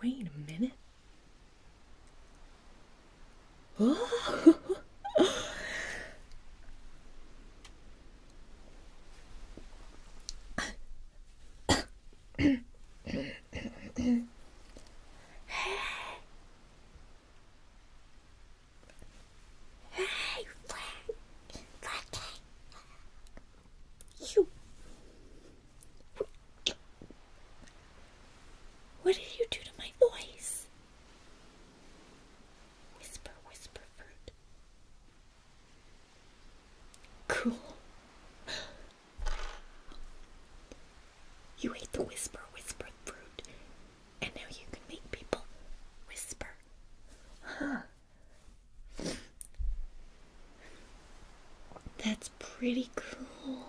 Wait a minute. Oh. What did you do to my voice? Whisper, whisper fruit. Cool. You ate the whisper, whisper fruit, and now you can make people whisper. Huh. That's pretty cool.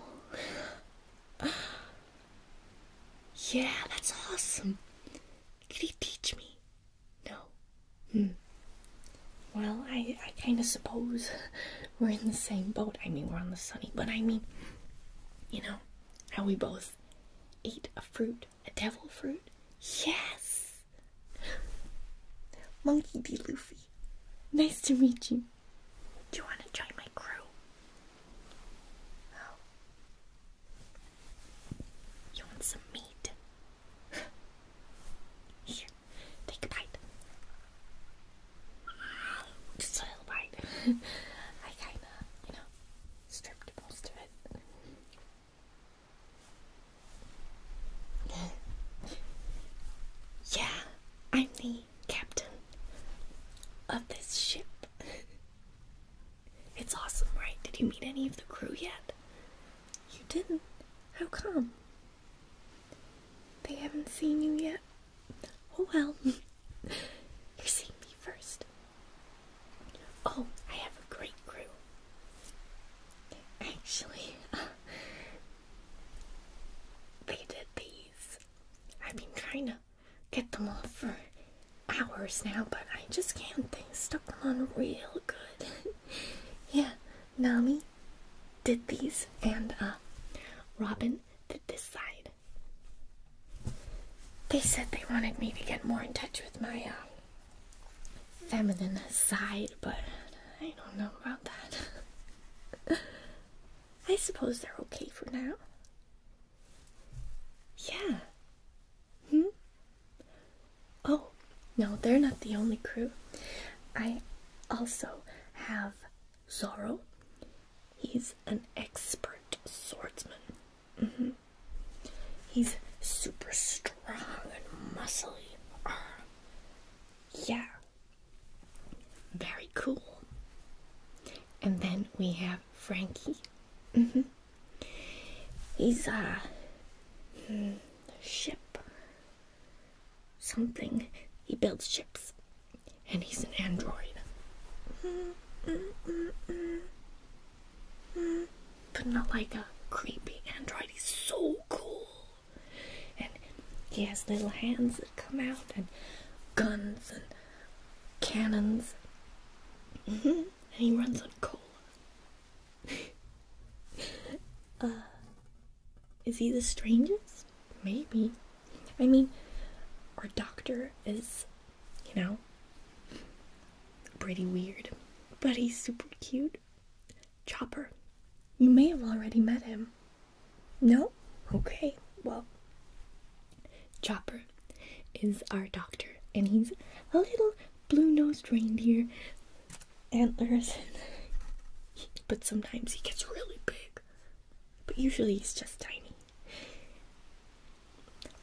Yeah, that's awesome. Could he teach me? No. Hmm. Well, I, I kind of suppose we're in the same boat. I mean, we're on the sunny, but I mean, you know, how we both ate a fruit, a devil fruit. Yes! Monkey D. Luffy, nice to meet you. Do you want to join my crew? Oh. You want some meat? Here, take a bite. Just a little bite. I kinda, you know, stripped most of it. yeah, I'm the captain of this ship. It's awesome, right? Did you meet any of the crew yet? You didn't? How come? They haven't seen you yet? Oh well. You're seeing me first. Oh, I have a great crew. Actually, they did these. I've been trying to get them off for hours now, but I just can't. They stuck them on real good. yeah, Nami did these, and uh, Robin did this side. They said they wanted me to get more in touch with my uh, feminine side, but I don't know about that. I suppose they're okay for now. Yeah. Hmm? Oh, no, they're not the only crew. I also have Zorro. He's an expert swordsman. Mm -hmm. He's super strong and muscly. Uh, yeah. Very cool. And then we have Frankie. Mm -hmm. He's a hmm, ship. Something. He builds ships. And he's an android. but not like a creepy android. He's so cool. And he has little hands that come out, and guns, and cannons. and he runs on cola. uh, is he the strangest? Maybe. I mean, our doctor is, you know, pretty weird, but he's super cute. Chopper. You may have already met him. No? Okay, well, Chopper is our doctor, and he's a little blue-nosed reindeer, antlers, but sometimes he gets really big. But usually he's just tiny.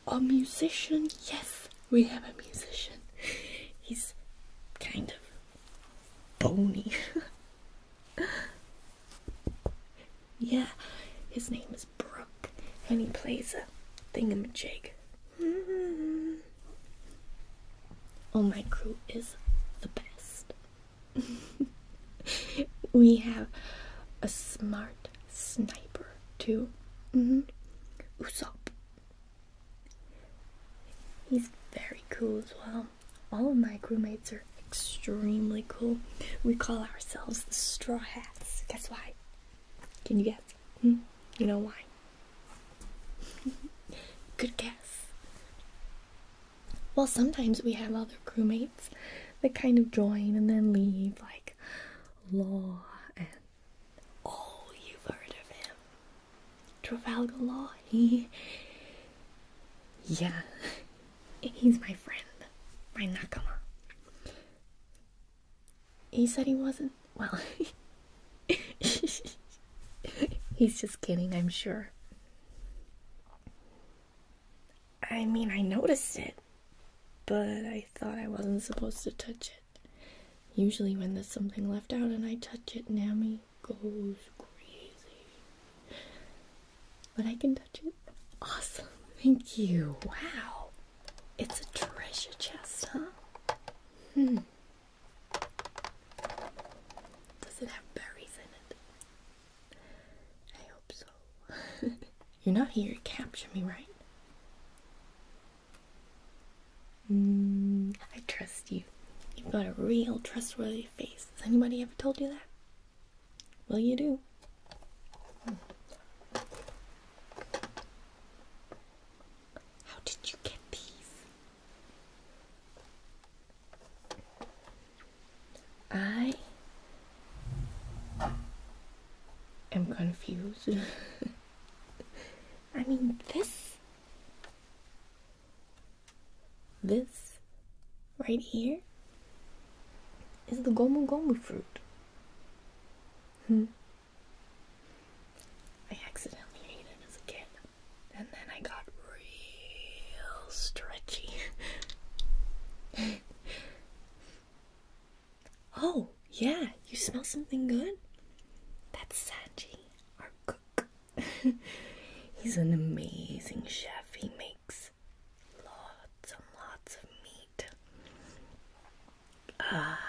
A musician, yes, we have a musician. He's kind of bony. yeah, his name is Brook, and he plays a thingamajig. Mm-hmm. Oh, my crew is the best. we have a smart sniper too. Mm Usopp. He's very cool as well. All of my crewmates are extremely cool. We call ourselves the Straw Hats. Guess why? Can you guess? Hmm? You know why? Good guess. Well, sometimes we have other crewmates that kind of join and then leave, like Law and all you've heard of him, Trafalgar Law. He, yeah, he's my friend, my nakama. He said he wasn't. Well, he's just kidding, I'm sure. I mean, I noticed it, but I thought I wasn't supposed to touch it. Usually, when there's something left out and I touch it, Nami goes crazy. But I can touch it. Awesome. Thank you. Wow. It's a treasure chest, huh? Hmm. Does it have berries in it? I hope so. You're not here to capture me, right? Mm, I trust you. You've got a real trustworthy face. Has anybody ever told you that? Well, you do. How did you get these? I am confused. I mean, this, this right here is the gomu gomu fruit. Hmm. I accidentally ate it as a kid, and then I got real stretchy. oh, yeah, you smell something good? That's Sanji, our cook. He's an amazing chef. He makes lots and lots of meat. Ah,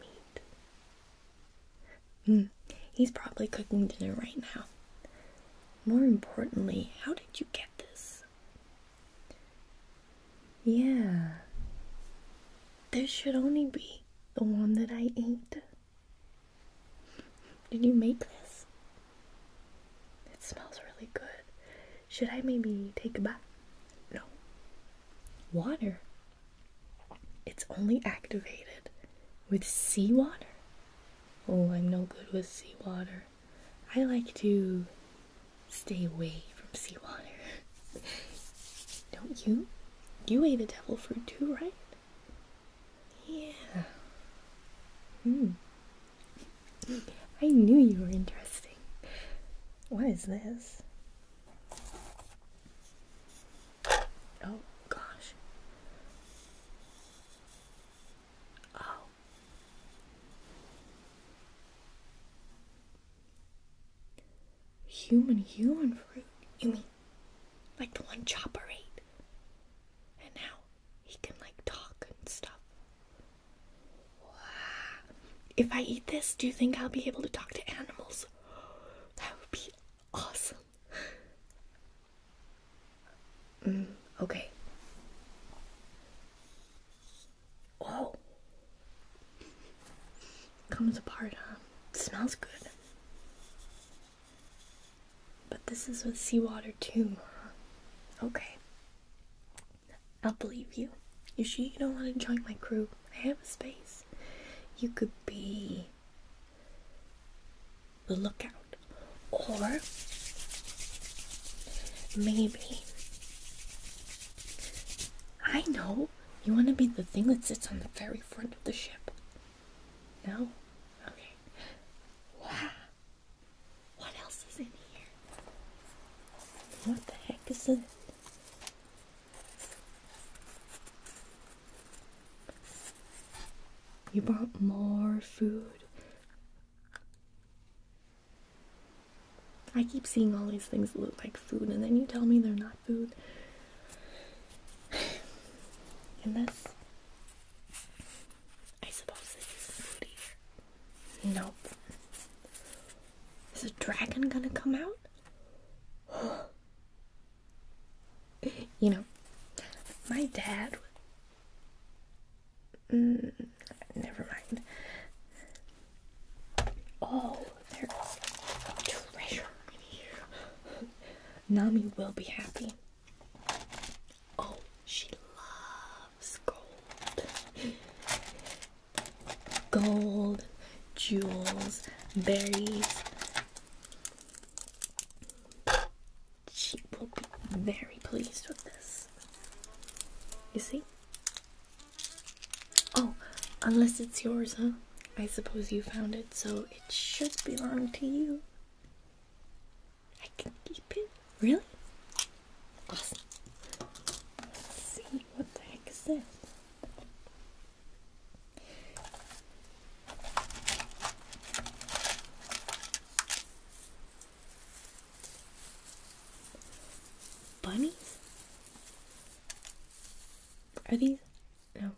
meat. Mm, he's probably cooking dinner right now. More importantly, how did you get this? Yeah. This should only be the one that I ate. Did you make this? It smells really good. Should I maybe take a bite? No. Water. It's only activated with seawater. Oh, I'm no good with seawater. I like to stay away from seawater. Don't you? You ate a devil fruit too, right? Yeah. Hmm. I knew you were interesting. What is this? Oh gosh. Oh. Human human fruit. You mean like the one Chopper ate? And now he can like talk and stuff. If I eat this, do you think I'll be able to talk to animals? That would be awesome. Mm, okay. Oh. Comes apart, huh? smells good. But this is with seawater too. Okay. I'll believe you. You sure you don't want to join my crew? I have a space. You could be the lookout. Or maybe I know you want to be the thing that sits on the very front of the ship. No? Okay. Wow. What else is in here? What the heck is in You brought more food. I keep seeing all these things that look like food, and then you tell me they're not food. And this I suppose this is food here. Nope. Is a dragon gonna come out? you know, my dad. Mm, never mind. Oh, there's treasure in here. Nami will be happy. Oh, she loves gold gold, jewels, berries. She will be very pleased with this. You see? Oh, unless it's yours, huh? I suppose you found it, so it should belong to you. I can keep it. Really? Awesome. Let's see what the heck is this. Bunnies? Are these? No.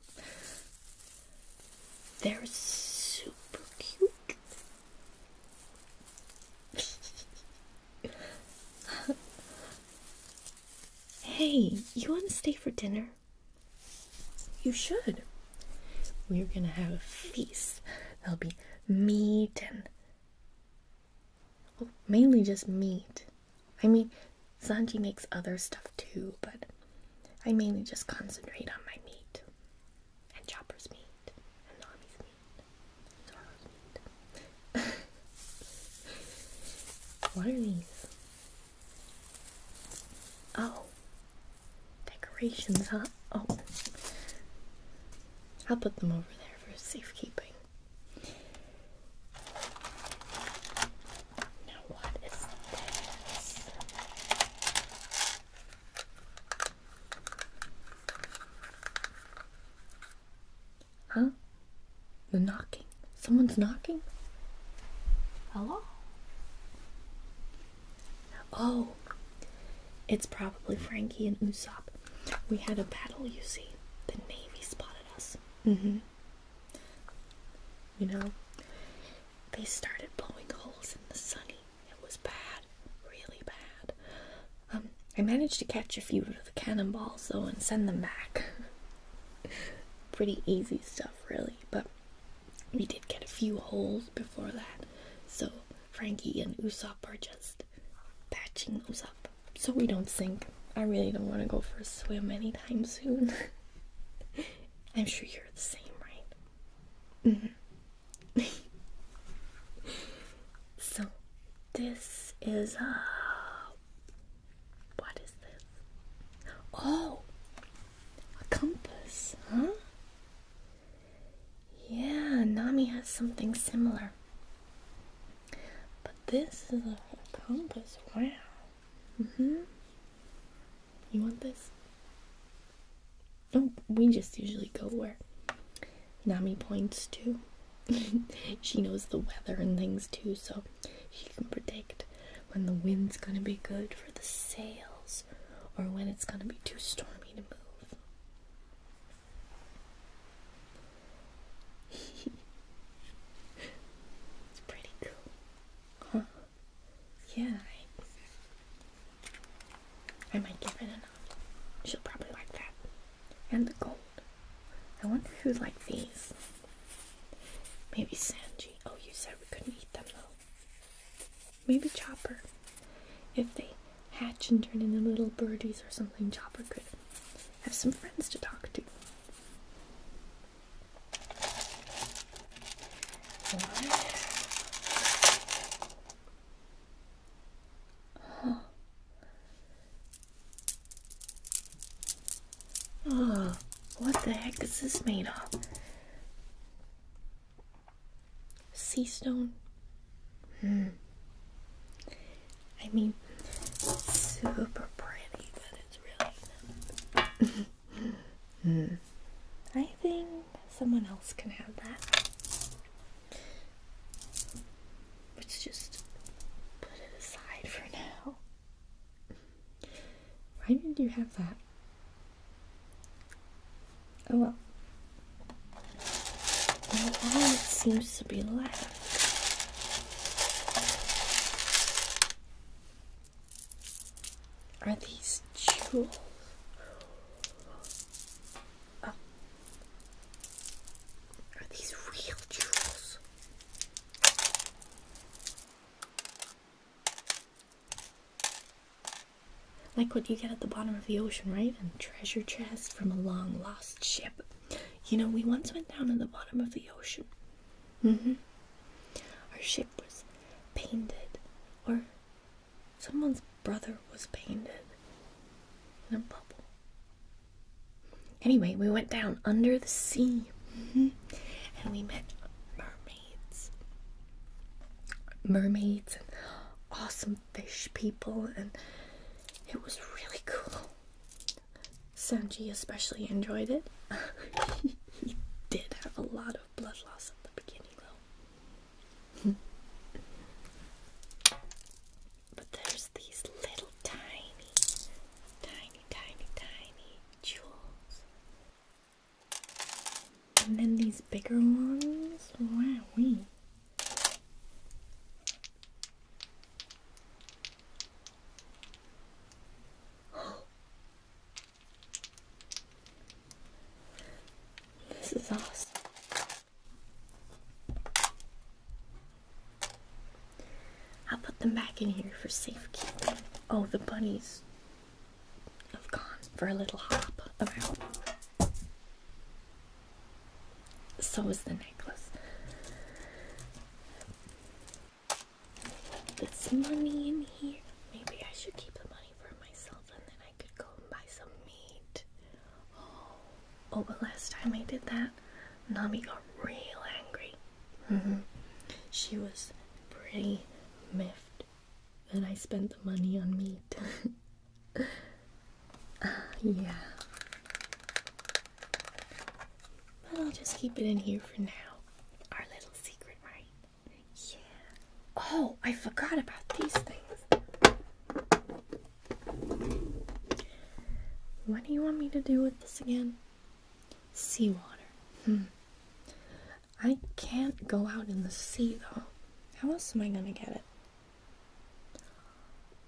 They're super cute. hey, you want to stay for dinner? You should. We're gonna have a feast. There'll be meat and. Well, mainly just meat. I mean, Sanji makes other stuff too, but I mainly just concentrate on my meat and Chopper's meat meat, what are these? Oh, decorations, huh? Oh, I'll put them over there for safekeeping. Now, what is this? Huh? The knocking. Someone's knocking? Hello? Oh, it's probably Frankie and Usopp. We had a battle, you see. The Navy spotted us. Mm hmm. You know, they started blowing holes in the sunny. It was bad really bad. Um, I managed to catch a few of the cannonballs though and send them back. Pretty easy stuff, really, but we did get a few holes before that, so Frankie and Usop are just patching those up so we don't sink. I really don't want to go for a swim anytime soon. I'm sure you're the same, right? -hmm. so this is a uh, what is this? Oh, a compass, huh? Yeah, Nami has something similar. But this is a compass. Wow. Mm-hmm. You want this? Oh, we just usually go where Nami points to. she knows the weather and things too, so she can predict when the wind's gonna be good for the sails or when it's gonna be too stormy to move. it's pretty cool. Huh? Yeah. I might give it enough. She'll probably like that. And the gold. I wonder who'd like these. Maybe Sanji. Oh, you said we couldn't eat them though. Maybe Chopper. If they hatch and turn into little birdies or something, Chopper could have some friends to talk to. Oh. what the heck is this made of? Sea stone. Hmm. I mean, super pretty, but it's really. hmm. I think someone else can have that. Let's just put it aside for now. Why did you have that? Oh well. all it seems to be left. Are these jewels? Are these real jewels? Like what you get at the bottom of the ocean, right? A treasure chest from a long lost ship. You know, we once went down in the bottom of the ocean. Mm-hmm. Our ship was painted, or someone's brother was painted in a bubble. Anyway, we went down under the sea mm-hmm. and we met mermaids. Mermaids and awesome fish people, and it was really cool. Sanji especially enjoyed it. he did have a lot of blood loss at the beginning, though but there's these little tiny, tiny, tiny, tiny jewels. And then these bigger ones. Wow, we. This is awesome. I'll put them back in here for safekeeping. Oh, the bunnies have gone for a little hop around. So is the necklace. This money in here. Maybe I should keep the money for myself and then I could go and buy some meat. Oh, oh, but last time I did that, Nami got real angry. Mm -hmm. She was pretty miffed that I spent the money on meat. Ah, yeah. But I'll just keep it in here for now. Our little secret, right? Yeah. Oh, I forgot about these things. What do you want me to do with this again? Seawater. Hmm. I can't go out in the sea though. How else am I gonna get it?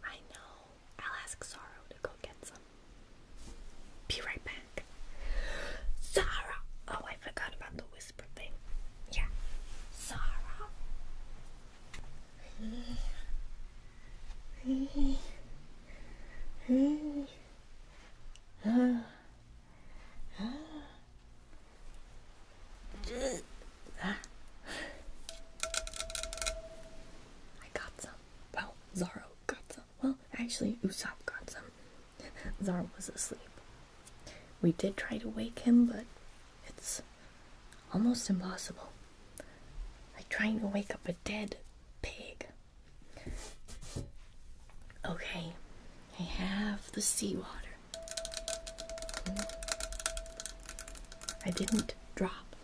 I know. I'll ask Sorrow to go get some. Be right back. Sorrow! Oh, I forgot about the whisper thing. Yeah. Sorrow. I got some. Well, Zaro got some. Well, actually, Usopp got some. Zaro was asleep. We did try to wake him, but it's Almost impossible. Like trying to wake up a dead pig. Okay, I have the seawater. Hmm. I didn't drop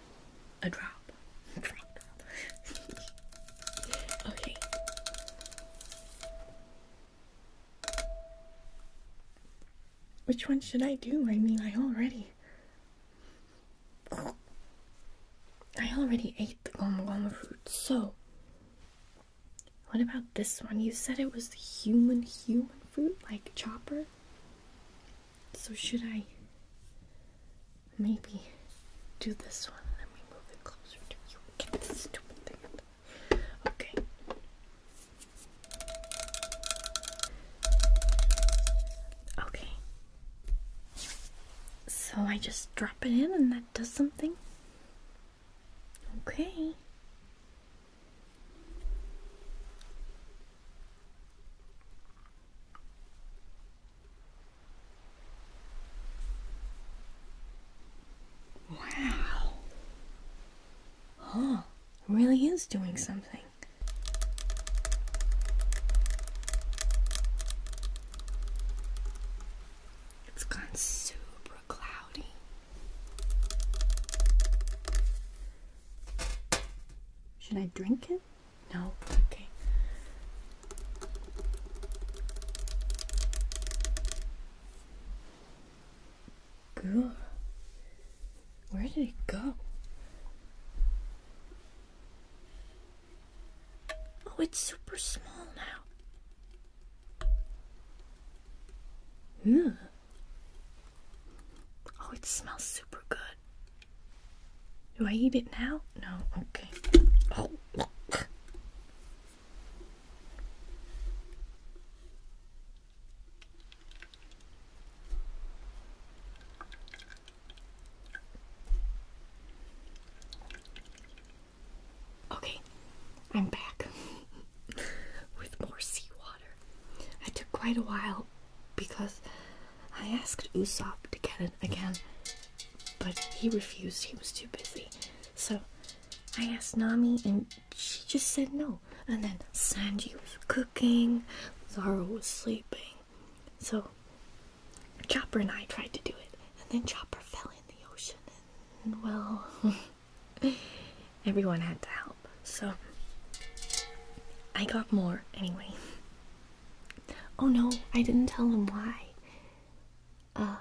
a drop. okay. Which one should I do? I mean, I already. I already ate the goma goma fruit, so. What about this one? You said it was the human human food, like chopper. So should I maybe do this one? Let me move it closer to you. stupid thing. Okay. Okay. So I just drop it in and that does something? Okay. Wow. Oh, really is doing something. It's gone super cloudy. Should I drink it? No. Okay. Good. Where did it go? Oh, it's super small now. Ugh. Oh, it smells super good. Do I eat it now? No, okay. Oh, look. Okay, I'm back with more seawater. I took quite a while because I asked Usopp to get it again, but he refused. He was too busy. So I asked Nami and she just said no. And then Sanji was cooking, Zara was sleeping. So Chopper and I tried to do it. And then Chopper fell in the ocean. And well, everyone had to help. So I got more anyway. Oh no, I didn't tell them why. Uh,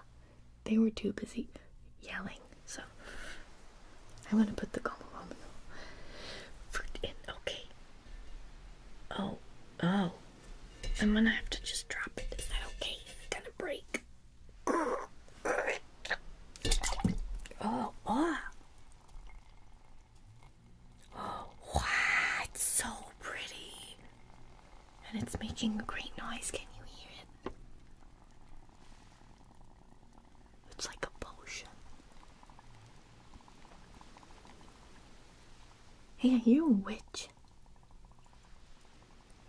they were too busy yelling. So I'm gonna put the Gomolomial fruit in. Okay. Oh, oh. I'm gonna have to just drop it. Is that okay? It's gonna break. Oh, oh. Oh, wow, it's so pretty. And it's making a great noise. Can you hear it? It's like a potion. Hey, are you a witch?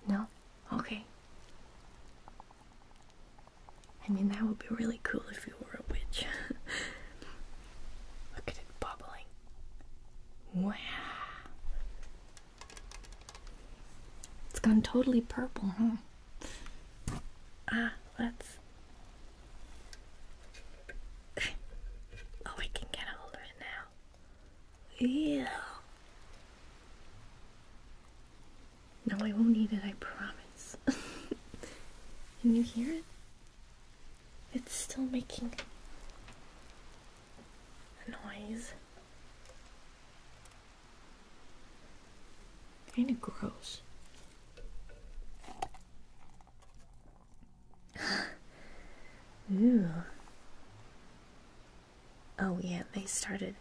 No? Okay. I mean, that would be really cool if you were a witch. Look at it bubbling. Wow. It's gone totally purple, huh? Ah, let's. oh, we can get hold of it now. Yeah. No, I won't need it, I promise. Can you hear it? It's still making a noise. Kind of gross. Ew. Oh, yeah, they started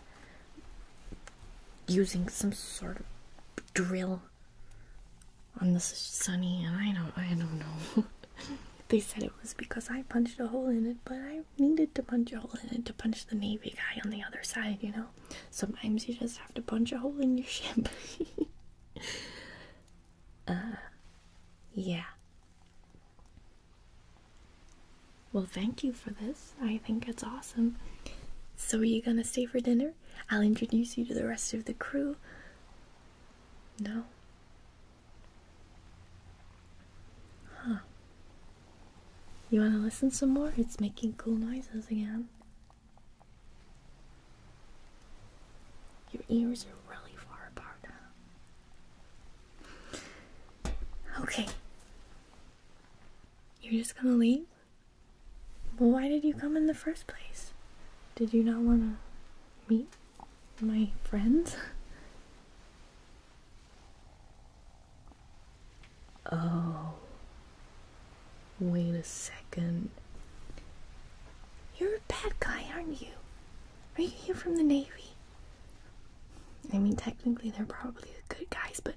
using some sort of drill on this sunny, and I don't, I don't know. they said it was because I punched a hole in it, but I needed to punch a hole in it to punch the navy guy on the other side, you know. Sometimes you just have to punch a hole in your ship. uh, yeah. Well, thank you for this. I think it's awesome. So, are you gonna stay for dinner? I'll introduce you to the rest of the crew. No? Huh. You wanna listen some more? It's making cool noises again. Your ears are really far apart now. Okay. You're just gonna leave? Well, why did you come in the first place? Did you not want to meet my friends? Oh, wait a second. You're a bad guy, aren't you? Are you here from the Navy? I mean, technically, they're probably the good guys, but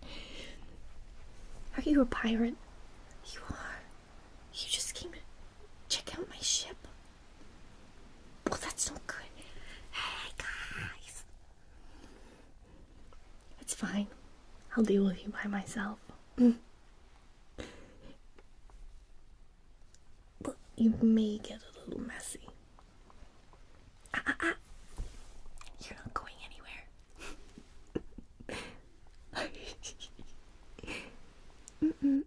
are you a pirate? You are. You just came to check out my ship. Well, that's not good. Hey, guys. It's fine. I'll deal with you by myself. but you may get a little messy. Ah, ah, ah. You're not going anywhere. mm -mm.